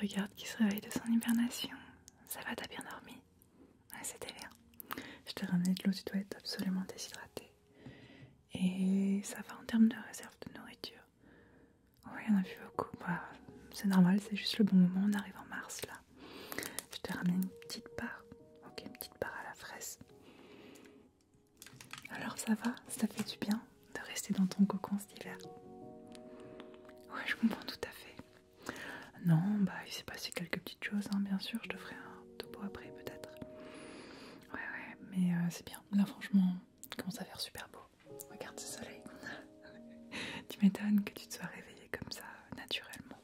Regarde qui se réveille de son hibernation. Ça va, t'as bien dormi Ouais, c'était bien. Je t'ai ramené de l'eau, tu dois être absolument déshydratée. Et ça va en termes de réserve de nourriture. Oui, on a vu beaucoup. Bah, c'est normal, c'est juste le bon moment. On arrive en mars là. Je t'ai ramené une petite part. Ok, une petite part à la fraise. Alors ça va Ça fait du bien de rester dans ton cocon cet hiver. Ouais, je comprends tout à fait. Non, bah il s'est passé quelques petites choses, hein, bien sûr, je te ferai un topo après peut-être. Ouais, ouais, mais euh, c'est bien. Là, franchement, il commence à faire super beau. Regarde ce soleil tu m'étonnes que tu te sois réveillée comme ça, euh, naturellement.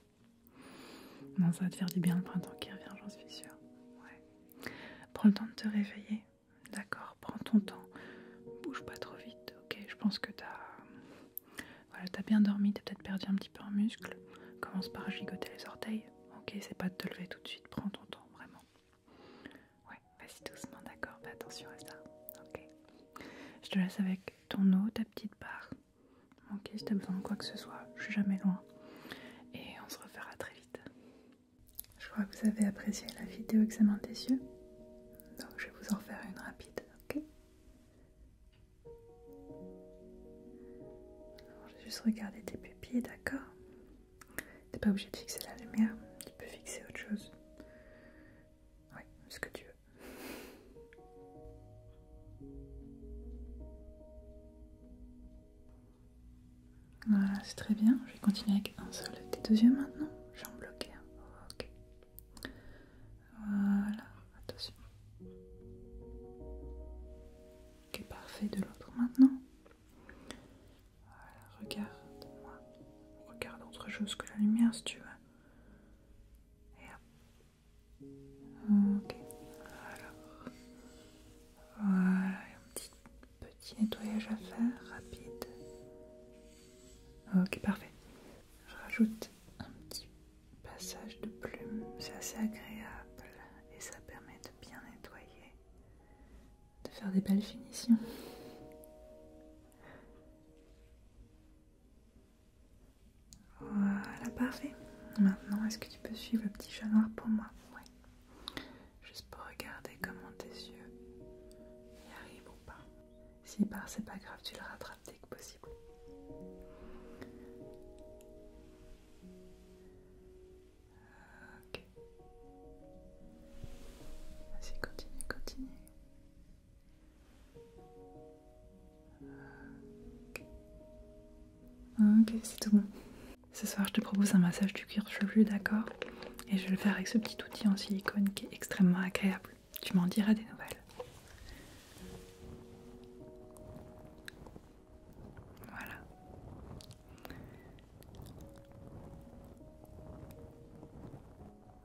Non, ça va te faire du bien le printemps qui revient, j'en suis sûre. Ouais. Prends le temps de te réveiller. D'accord, prends ton temps, bouge pas trop vite. Ok, je pense que t'as voilà, as bien dormi, t'as peut-être perdu un petit peu en muscle. Commence par gigoter les orteils. Ok, c'est pas de te lever tout de suite, prends ton temps, vraiment. Ouais, vas-y doucement, d'accord, fais attention à ça. Ok, je te laisse avec ton eau, ta petite part. Ok, si t'as besoin de quoi que ce soit, je suis jamais loin. Et on se refera très vite. Je crois que vous avez apprécié la vidéo examen des yeux. Donc je vais vous en faire une rapide, ok Je vais juste regarder tes pupilles, d'accord T'es pas obligé de fixer la lumière, tu peux fixer autre chose. Oui, ce que tu veux. Voilà, c'est très bien. Je vais continuer avec un seul des tes deux maintenant. J'en bloque un. Ok. Voilà, attention. Ok, parfait de l'autre maintenant. Voilà, regarde-moi. Regarde autre chose que la lumière si tu veux. Et hop. Ok, alors. Voilà, un petit, petit nettoyage à faire, rapide. Ok, parfait. Je rajoute un petit passage de plume, c'est assez agréable et ça permet de bien nettoyer, de faire des belles finitions. Voilà, parfait. Maintenant, est-ce que tu peux suivre le petit chat noir pour moi Oui. Juste pour regarder comment tes yeux y arrivent ou pas. S'il part, c'est pas grave, tu le rattrapes dès que possible. Ok. Vas-y, continue, continue. Ok, c'est tout bon. Ce soir, je te propose un massage du cuir chevelu, d'accord Et je vais le faire avec ce petit outil en silicone qui est extrêmement agréable. Tu m'en diras des nouvelles. Voilà.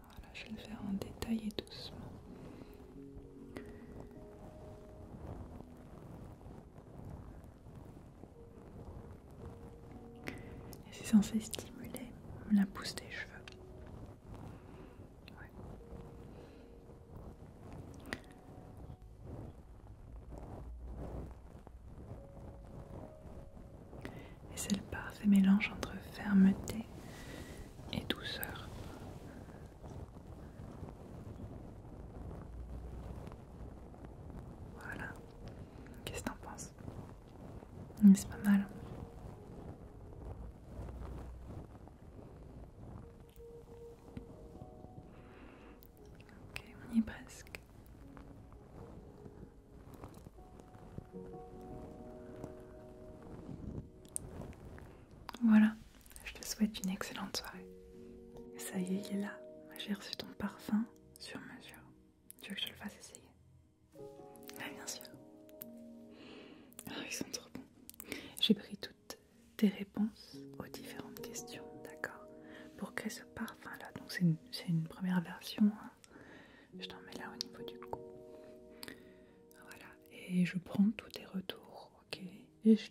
Voilà, je vais le faire en détail et doucement. Et c'est censé stimuler la pousse des cheveux. Et c'est le parfait mélange entre fermeté et douceur. Voilà. Qu'est-ce que t'en penses mais mm, c'est pas mal. Ok, on y est presque. Voilà, je te souhaite une excellente soirée. Ça y est, il est là. J'ai reçu ton parfum sur mesure. Tu veux que je le fasse essayer ah, bien sûr. Ah, ils sont trop bons. J'ai pris toutes tes réponses aux différentes questions, d'accord Pour créer ce parfum-là. Donc, c'est une, première version. Hein. Je t'en mets là au niveau du cou. Voilà. Et je prends tous tes retours, ok Et je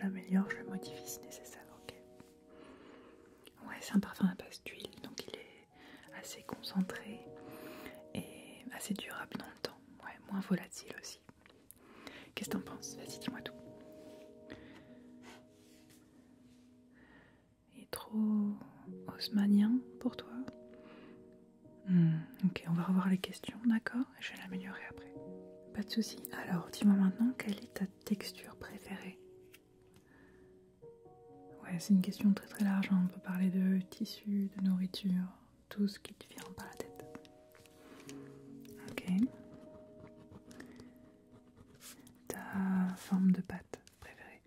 l'améliore, je, le modifie si nécessaire, ok Ouais, c'est un parfum à base d'huile, donc il est assez concentré et assez durable dans le temps, ouais, moins volatile aussi. Qu'est-ce que t'en penses Vas-y, dis-moi tout. Il est trop haussmannien pour toi hmm, Ok, on va revoir les questions, d'accord Je vais l'améliorer après. Pas de souci. Alors, dis-moi maintenant quelle est ta texture préférée Ouais, c'est une question très très large. Hein. On peut parler de tissu, de nourriture, tout ce qui te vient par la tête. Ok. Ta forme de pâte préférée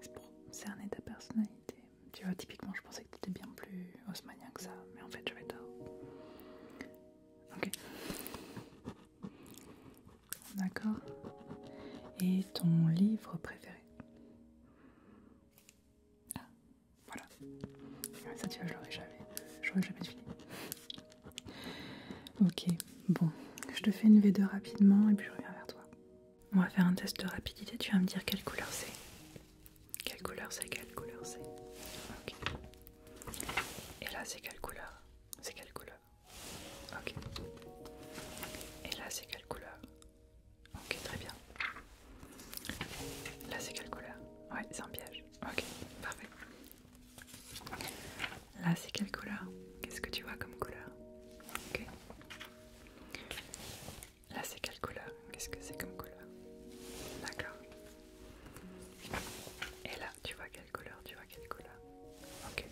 C'est cerner ta personnalité. Tu vois, typiquement, je pensais que tu étais bien plus haussmanien que ça, mais en fait, j'avais tort. Ok. D'accord Et ton livre préféré Ah, voilà. Ah, ça, tu vois, je l'aurais jamais. J'aurais jamais fini. Ok, bon. Je te fais une V2 rapidement et puis je reviens vers toi. On va faire un test de rapidité. Tu vas me dire quelle couleur c'est. Quelle couleur c'est Quelle couleur c'est Ok. Et là, c'est quelle couleur C'est quelle couleur Ok. Et là, c'est quelle couleur Ok, très bien. Là, c'est quelle couleur Ouais, c'est un piège. Ok, parfait. Là, c'est quelle couleur Qu'est-ce que tu vois comme couleur Ok. Là, c'est quelle couleur Qu'est-ce que c'est comme couleur D'accord. Et là, tu vois quelle couleur Tu vois quelle couleur Ok.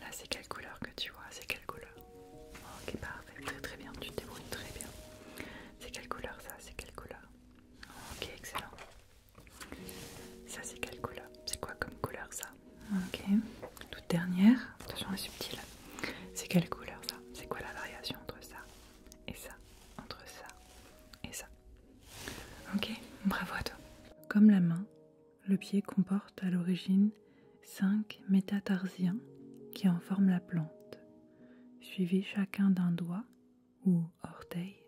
Là, c'est quelle couleur que tu vois C'est quelle couleur Ok, parfait, très très bien, tu te débrouilles très bien. C'est quelle couleur ça C'est quelle couleur Ok, excellent. Ça, c'est quelle couleur C'est quoi comme couleur ça Ok, toute dernière, attention, est subtile. C'est quelle couleur ça C'est quoi la variation entre ça et ça Entre ça et ça Ok, bravo à toi. Comme la main, le pied comporte à l'origine cinq métatarsiens qui en forment la plante, suivi chacun d'un doigt ou orteil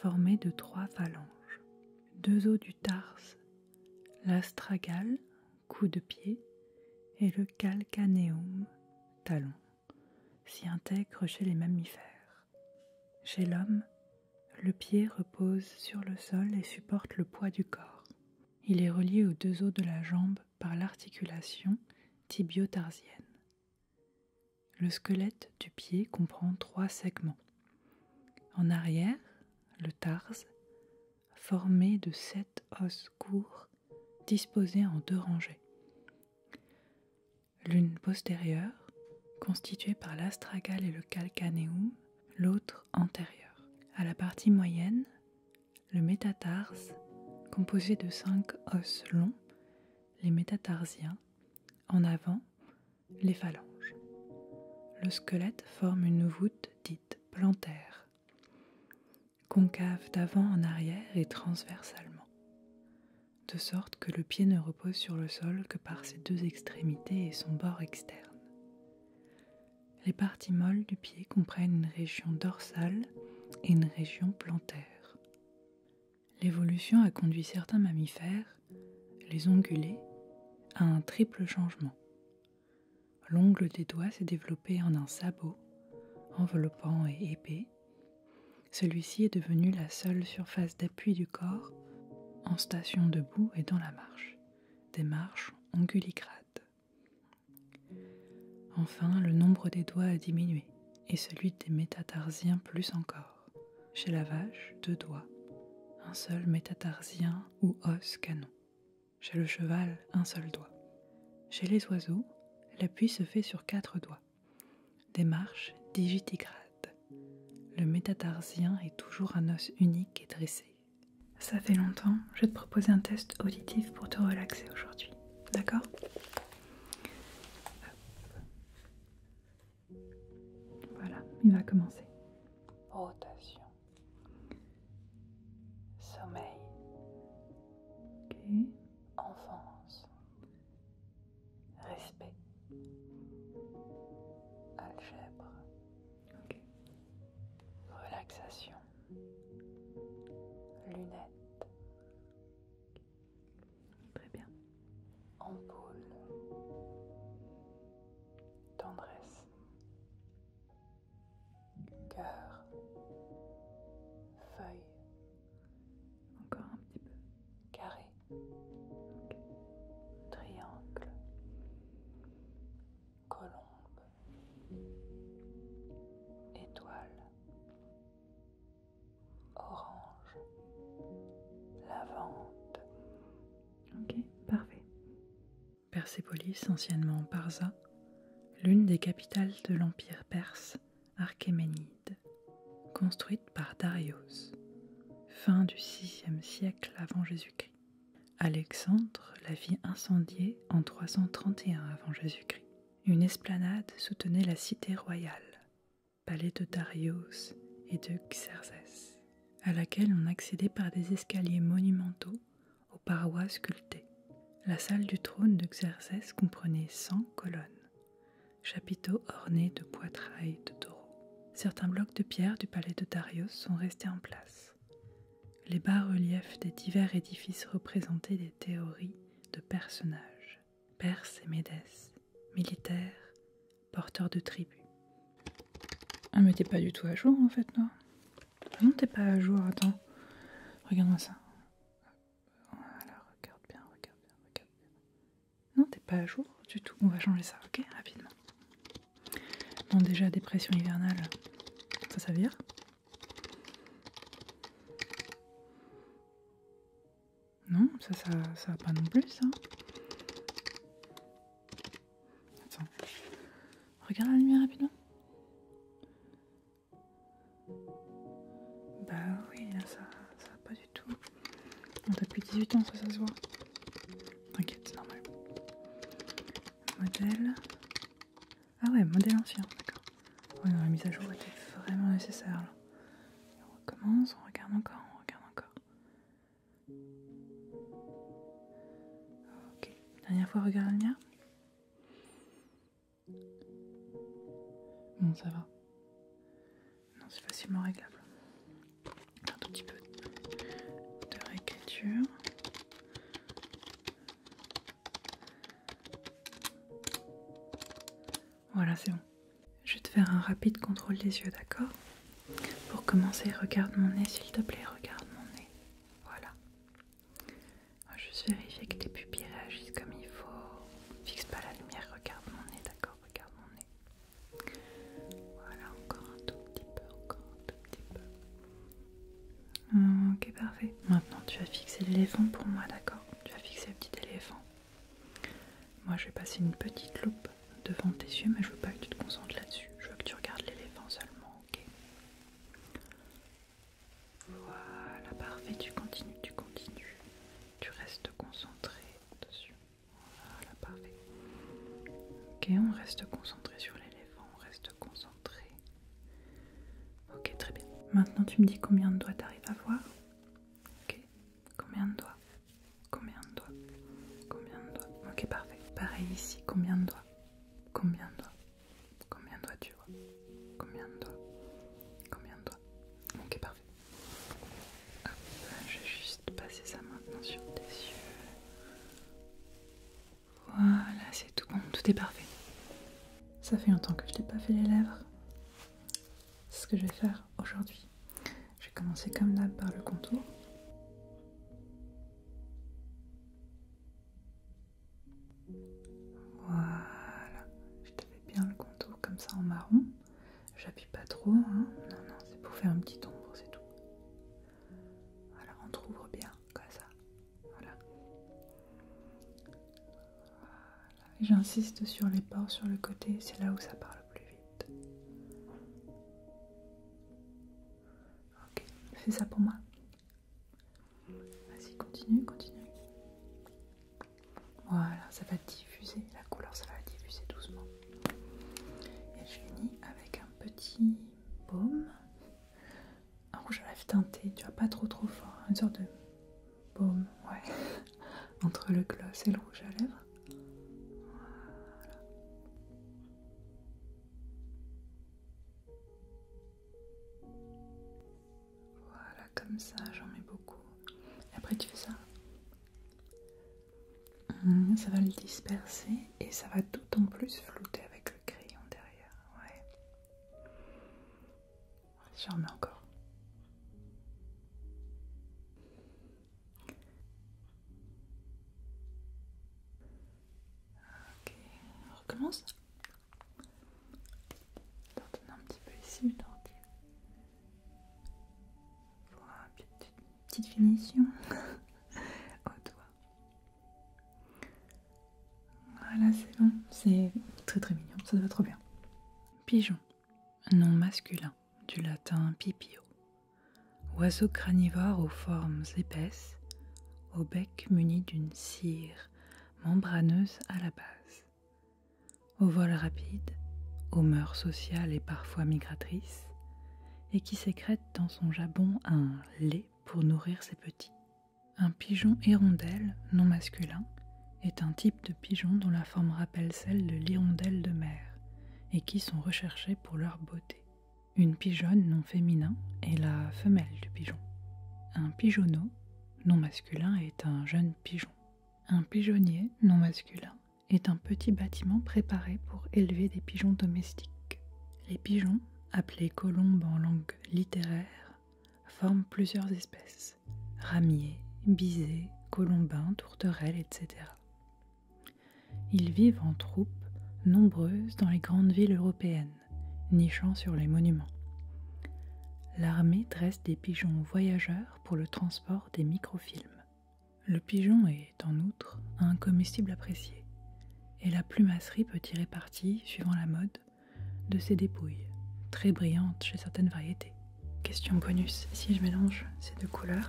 formé de trois phalanges. Deux os du tarse, l'astragale, coup de pied, et le calcaneum, talon, s'y intègrent chez les mammifères. Chez l'homme, le pied repose sur le sol et supporte le poids du corps. Il est relié aux deux os de la jambe par l'articulation tibiotarsienne. Le squelette du pied comprend trois segments. En arrière, le tarse, formé de sept os courts disposés en deux rangées. L'une postérieure, constituée par l'astragale et le calcaneum, l'autre antérieur. À la partie moyenne, le métatarse, composé de cinq os longs, les métatarsiens, en avant, les phalanges. Le squelette forme une voûte dite plantaire, concave d'avant en arrière et transversalement, de sorte que le pied ne repose sur le sol que par ses deux extrémités et son bord externe. Les parties molles du pied comprennent une région dorsale et une région plantaire. L'évolution a conduit certains mammifères, les ongulés, à un triple changement. L'ongle des doigts s'est développé en un sabot, enveloppant et épais. Celui-ci est devenu la seule surface d'appui du corps en station debout et dans la marche. Démarche marches Enfin, le nombre des doigts a diminué, et celui des métatarsiens plus encore. Chez la vache, deux doigts, un seul métatarsien ou os canon. Chez le cheval, un seul doigt. Chez les oiseaux, l'appui se fait sur quatre doigts. Démarche digitigrade. Le métatarsien est toujours un os unique et dressé. Ça fait longtemps, je vais te proposer un test auditif pour te relaxer aujourd'hui. D'accord Voilà, il va commencer. Rotation. Sommeil. Enfance. Respect. Algèbre. Relaxation. Lunettes. Très bien. Ampoule. Tendresse. Cœur. Feuille. Encore un petit peu. Carré. Triangle colombe, étoile, orange, lavande. Ok, parfait. Persépolis, anciennement Parza, l'une des capitales de l'Empire perse Archéménide, construite par Darius, fin du VIe siècle avant Jésus-Christ. Alexandre la vit incendiée en 331 avant Jésus-Christ. Une esplanade soutenait la cité royale, palais de Darius et de Xerxès, à laquelle on accédait par des escaliers monumentaux aux parois sculptées. La salle du trône de Xerxès comprenait 100 colonnes, chapiteaux ornés de poitrailles de taureaux. Certains blocs de pierre du palais de Darius sont restés en place. Les bas-reliefs des divers édifices représentaient des théories de personnages, Perses et Médès, militaires, porteurs de tribus. Ah mais t'es pas du tout à jour en fait, non ah Non t'es pas à jour, attends. Regarde-moi ça. Voilà, regarde bien, regarde bien, regarde bien. Non t'es pas à jour du tout, on va changer ça, ok Rapidement. Non, déjà, dépression hivernale, ça, ça vire. Non, ça, ça, va pas non plus, ça. Attends. Regarde la lumière rapidement. Bah oui, là, ça, va pas du tout. On t'as plus 18 ans, ça, ça se voit. T'inquiète, c'est normal. Modèle. Ah ouais, modèle ancien, d'accord. Ouais, la mise à jour était vraiment nécessaire là. on recommence, on regarde encore, on regarde encore. Ok, dernière fois, regarde mienne. Bon, ça va. Non, c'est facilement réglable un tout petit peu de réécriture. Voilà, c'est bon. Je vais te faire un rapide contrôle des yeux, d'accord Pour commencer, regarde mon nez, s'il te plaît, regarde mon nez. Voilà. Je vais juste vérifier que tes pupilles réagissent comme il faut. Fixe pas la lumière, regarde mon nez, d'accord Regarde mon nez. Voilà, encore un tout petit peu, encore un tout petit peu. Hum, ok, parfait. Maintenant, tu vas fixer l'éléphant pour moi, d'accord Tu vas fixer le petit éléphant. Moi, je vais passer une petite loupe devant tes yeux, mais je veux pas que tu te concentres là-dessus. Je veux que tu regardes l'éléphant seulement, ok Voilà, parfait. Tu continues, tu continues. Tu restes concentré dessus. Voilà, parfait. Ok, on reste concentré sur l'éléphant on reste concentré. Ok, très bien. Maintenant, tu me dis combien de doigts arrives à voir Ok, combien de doigts Combien de doigts Combien de doigts Ok, parfait. Pareil ici, combien de doigts Combien de doigts Combien de doigts tu vois Combien de doigts Combien de doigts Ok, parfait. je vais juste passer ça maintenant sur tes yeux. Voilà, c'est tout bon, tout est parfait. Ça fait longtemps que je t'ai pas fait les lèvres. C'est ce que je vais faire aujourd'hui. Je vais commencer comme d'hab par le contour. Voilà, je t'avais bien le contour comme ça en marron. J'appuie pas trop, hein. non, non, c'est pour faire un petit ombre, c'est tout. Voilà, on trouve bien comme ça. Voilà. J'insiste sur les bords sur le côté, c'est là où ça parle le plus vite. Ok, fais ça pour moi. Vas-y, continue, continue. Voilà, ça va diffuser, la couleur, ça va diffuser doucement. Et je finis avec un petit baume, un rouge à lèvres teinté, tu vois, pas trop trop fort, hein, une sorte de baume, ouais, entre le gloss et le rouge à lèvres. Voilà. Voilà, comme ça, j'en mets beaucoup. Et après, tu fais ça. Hum, ça va le disperser et ça va d'autant plus flouter avec le crayon derrière. Ouais. J'en mets encore. Ok, on recommence. Retourner un petit peu ici le Pour Voilà, petite, petite finition au doigt. Voilà, c'est bon. C'est très très mignon, ça va trop bien. Pigeon, nom masculin, du latin pipio. Oiseau cranivore aux formes épaisses, au bec muni d'une cire membraneuse à la base. Au vol rapide, aux mœurs sociales et parfois migratrices, et qui sécrète dans son jabon un lait pour nourrir ses petits. Un pigeon hirondelle, non masculin, est un type de pigeon dont la forme rappelle celle de l'hirondelle de mer et qui sont recherchés pour leur beauté. Une pigeonne non féminin est la femelle du pigeon. Un pigeonneau non masculin est un jeune pigeon. Un pigeonnier non masculin est un petit bâtiment préparé pour élever des pigeons domestiques. Les pigeons appelés colombes en langue littéraire, forme plusieurs espèces ramiers, bisés, colombins, tourterelles, etc. Ils vivent en troupes nombreuses dans les grandes villes européennes, nichant sur les monuments. L'armée dresse des pigeons voyageurs pour le transport des microfilms. Le pigeon est en outre un comestible apprécié, et la plumasserie peut tirer parti, suivant la mode, de ses dépouilles, très brillantes chez certaines variétés. Question bonus, si je mélange ces deux couleurs,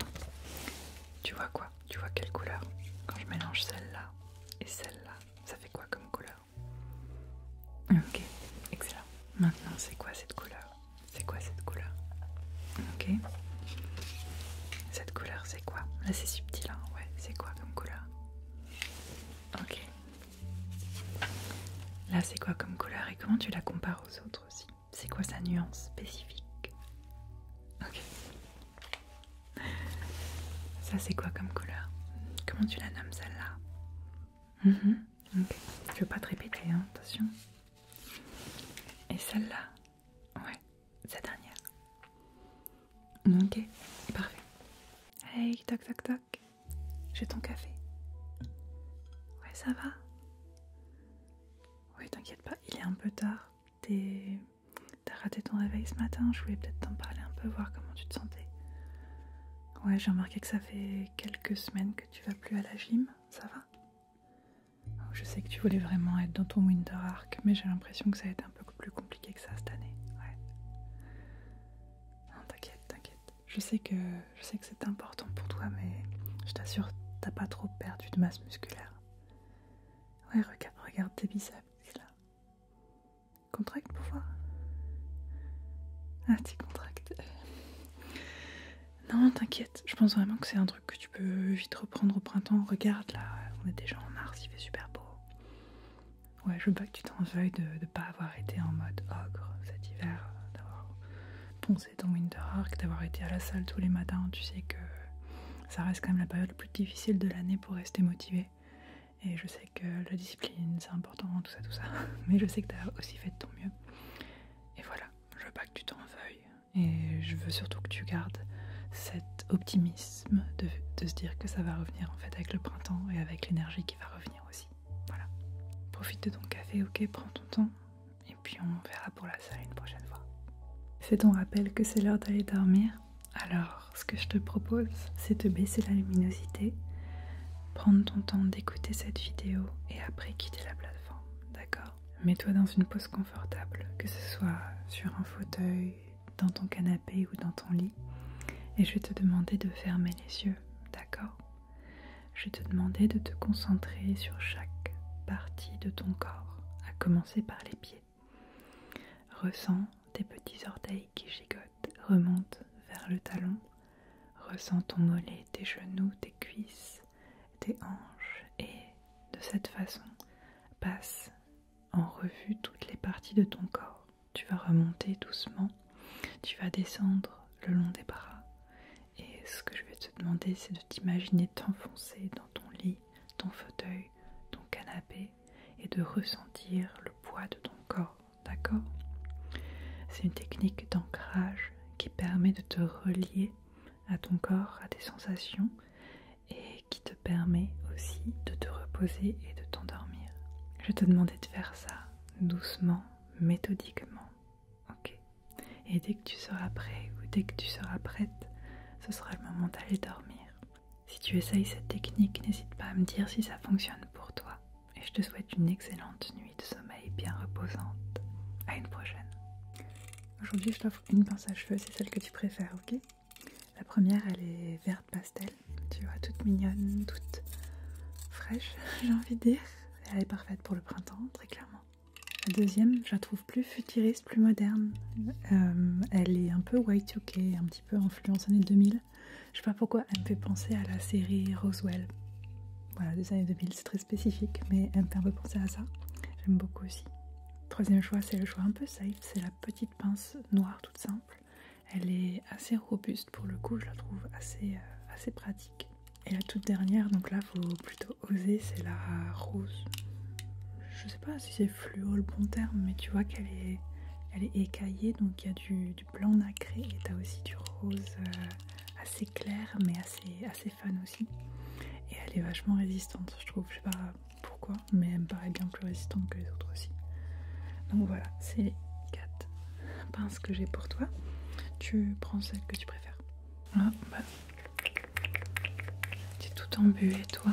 tu vois quoi Tu vois quelle couleur Quand je mélange celle-là et celle-là, ça fait quoi comme couleur Ok, excellent. Maintenant, c'est quoi cette couleur C'est quoi cette couleur Ok. Cette couleur, c'est quoi Là ah, c'est subtil, hein. ouais, c'est quoi comme couleur Ok. Là c'est quoi comme couleur et comment tu la compares aux autres aussi C'est quoi sa nuance spécifique Ok. Ça c'est quoi comme couleur Comment tu la nommes celle-là Tu mhm. Ok. Je veux pas te répéter, hein, attention. Et celle-là Ouais, cette dernière. Mm, ok, parfait. Hey, toc toc toc. J'ai ton café. Ouais, ça va Oui, t'inquiète pas, il est un peu tard. T'as raté ton réveil ce matin, je voulais peut-être t'en parler un peu, voir comment tu te sentais. Ouais, j'ai remarqué que ça fait quelques semaines que tu vas plus à la gym, ça va oh, Je sais que tu voulais vraiment être dans ton winter arc, mais j'ai l'impression que ça a été un peu plus compliqué que ça cette année. Ouais. Non, t'inquiète, t'inquiète. Je sais que, je sais que c'est important pour toi, mais je t'assure, t'as pas trop perdu de masse musculaire. Ouais, regarde, regarde tes biceps, là. Contracte pour voir. Ah, t'y contractes. Non, t'inquiète, je pense vraiment que c'est un truc que tu peux vite reprendre au printemps. Regarde là, on est déjà en mars, il fait super beau. Ouais, je veux pas que tu t'en veuilles de ne pas avoir été en mode ogre oh, cet hiver, euh, d'avoir poncé ton Winter Arc, d'avoir été à la salle tous les matins. Tu sais que ça reste quand même la période la plus difficile de l'année pour rester motivé. Et je sais que la discipline, c'est important, tout ça, tout ça. Mais je sais que t'as aussi fait de ton mieux. Et voilà, je veux pas que tu t'en veuilles. Et je veux surtout que tu gardes cet optimisme de, se dire que ça va revenir en fait avec le printemps et avec l'énergie qui va revenir aussi. Voilà. Profite de ton café, ok, prends ton temps et puis on verra pour la salle une prochaine fois. C'est ton rappel que c'est l'heure d'aller dormir. Alors, ce que je te propose, c'est de baisser la luminosité, prendre ton temps d'écouter cette vidéo et après quitter la plateforme, d'accord Mets-toi dans une pose confortable, que ce soit sur un fauteuil, dans ton canapé ou dans ton lit et je te demandais de fermer les yeux, d'accord Je te demandais de te concentrer sur chaque partie de ton corps, à commencer par les pieds. Ressens tes petits orteils qui gigotent, remontent vers le talon. Ressens ton mollet, tes genoux, tes cuisses, tes hanches et de cette façon passe en revue toutes les parties de ton corps. Tu vas remonter doucement, tu vas descendre le long des bras. Et ce que je vais te demander, c'est de t'imaginer t'enfoncer dans ton lit, ton fauteuil, ton canapé et de ressentir le poids de ton corps, d'accord C'est une technique d'ancrage qui permet de te relier à ton corps, à tes sensations et qui te permet aussi de te reposer et de t'endormir. Je te demandais de faire ça doucement, méthodiquement. Ok Et dès que tu seras prêt ou dès que tu seras prête, ce sera le moment d'aller dormir. Si tu essayes cette technique, n'hésite pas à me dire si ça fonctionne pour toi. Et je te souhaite une excellente nuit de sommeil bien reposante. À une prochaine. Aujourd'hui, je t'offre une pince à cheveux, c'est celle que tu préfères, ok la première, elle est verte pastel, tu vois, toute mignonne, toute fraîche, j'ai envie de dire. Elle est parfaite pour le printemps, très clairement. La deuxième, je la trouve plus futuriste, plus moderne. Euh, elle est un peu white ok, un petit peu influence années 2000. Je sais pas pourquoi, elle me fait penser à la série Roswell. Voilà, des années 2000, c'est très spécifique, mais elle me fait un peu penser à ça. J'aime beaucoup aussi. Troisième choix, c'est le choix un peu safe, c'est la petite pince noire toute simple. Elle est assez robuste pour le coup, je la trouve euh, assez, pratique. Et la toute dernière, donc là faut plutôt oser, c'est la rose. Je sais pas si c'est fluo le bon terme, mais tu vois qu'elle est, elle est écaillée, donc il y a du, blanc nacré et as aussi du rose euh, assez clair, mais assez, assez aussi. Et elle est vachement résistante, je trouve. Je sais pas, pourquoi, mais elle me paraît bien plus résistante que les autres aussi. Donc voilà, c'est les quatre pinces que j'ai pour toi. Tu prends celle que tu préfères. Ah, bah. Tu tout embué, toi.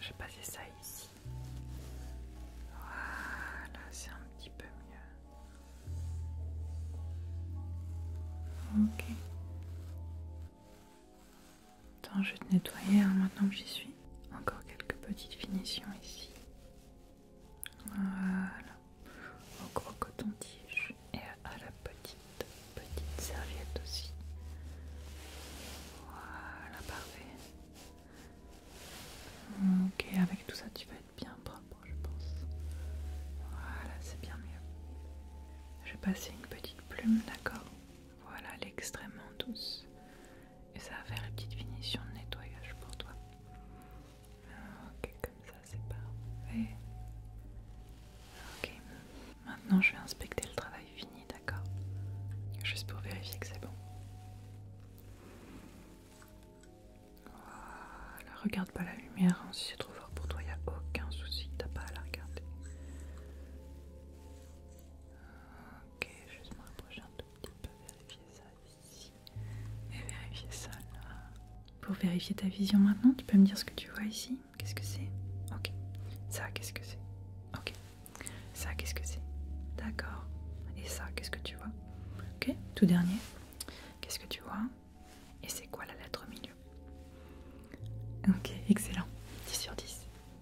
Je vais passer ça ici. Voilà, c'est un petit peu mieux. Ok. Attends, je vais te nettoyer hein, maintenant que j'y suis. Encore quelques petites finitions ici. Voilà. Au gros coton-tige et à la petite, petite serviette aussi. Voilà, parfait. Ok, avec tout ça, tu vas être bien propre, je pense. Voilà, c'est bien mieux. Je vais passer une petite plume, d'accord Voilà, l'extrêmement douce et ça va faire une petite finition de nettoyage pour toi. Euh, ok, comme ça c'est parfait. Ok, maintenant je vais inspecter le travail fini, d'accord Juste pour vérifier que c'est bon. Voilà, regarde pas la lumière, hein. si c'est trop fort pour toi, il n'y a aucun souci, t'as pas à la regarder. Euh, Ok, juste me rapprocher un tout petit peu, vérifier ça ici et vérifier ça là. Pour vérifier ta vision maintenant, tu peux me dire ce que tu vois ici Qu'est-ce que c'est Ok. Ça, qu'est-ce que c'est Ok. Ça, qu'est-ce que c'est D'accord. Et ça, qu'est-ce que tu vois Ok. Tout dernier. Qu'est-ce que tu vois Et c'est quoi la lettre au milieu Ok, excellent. 10 sur 10.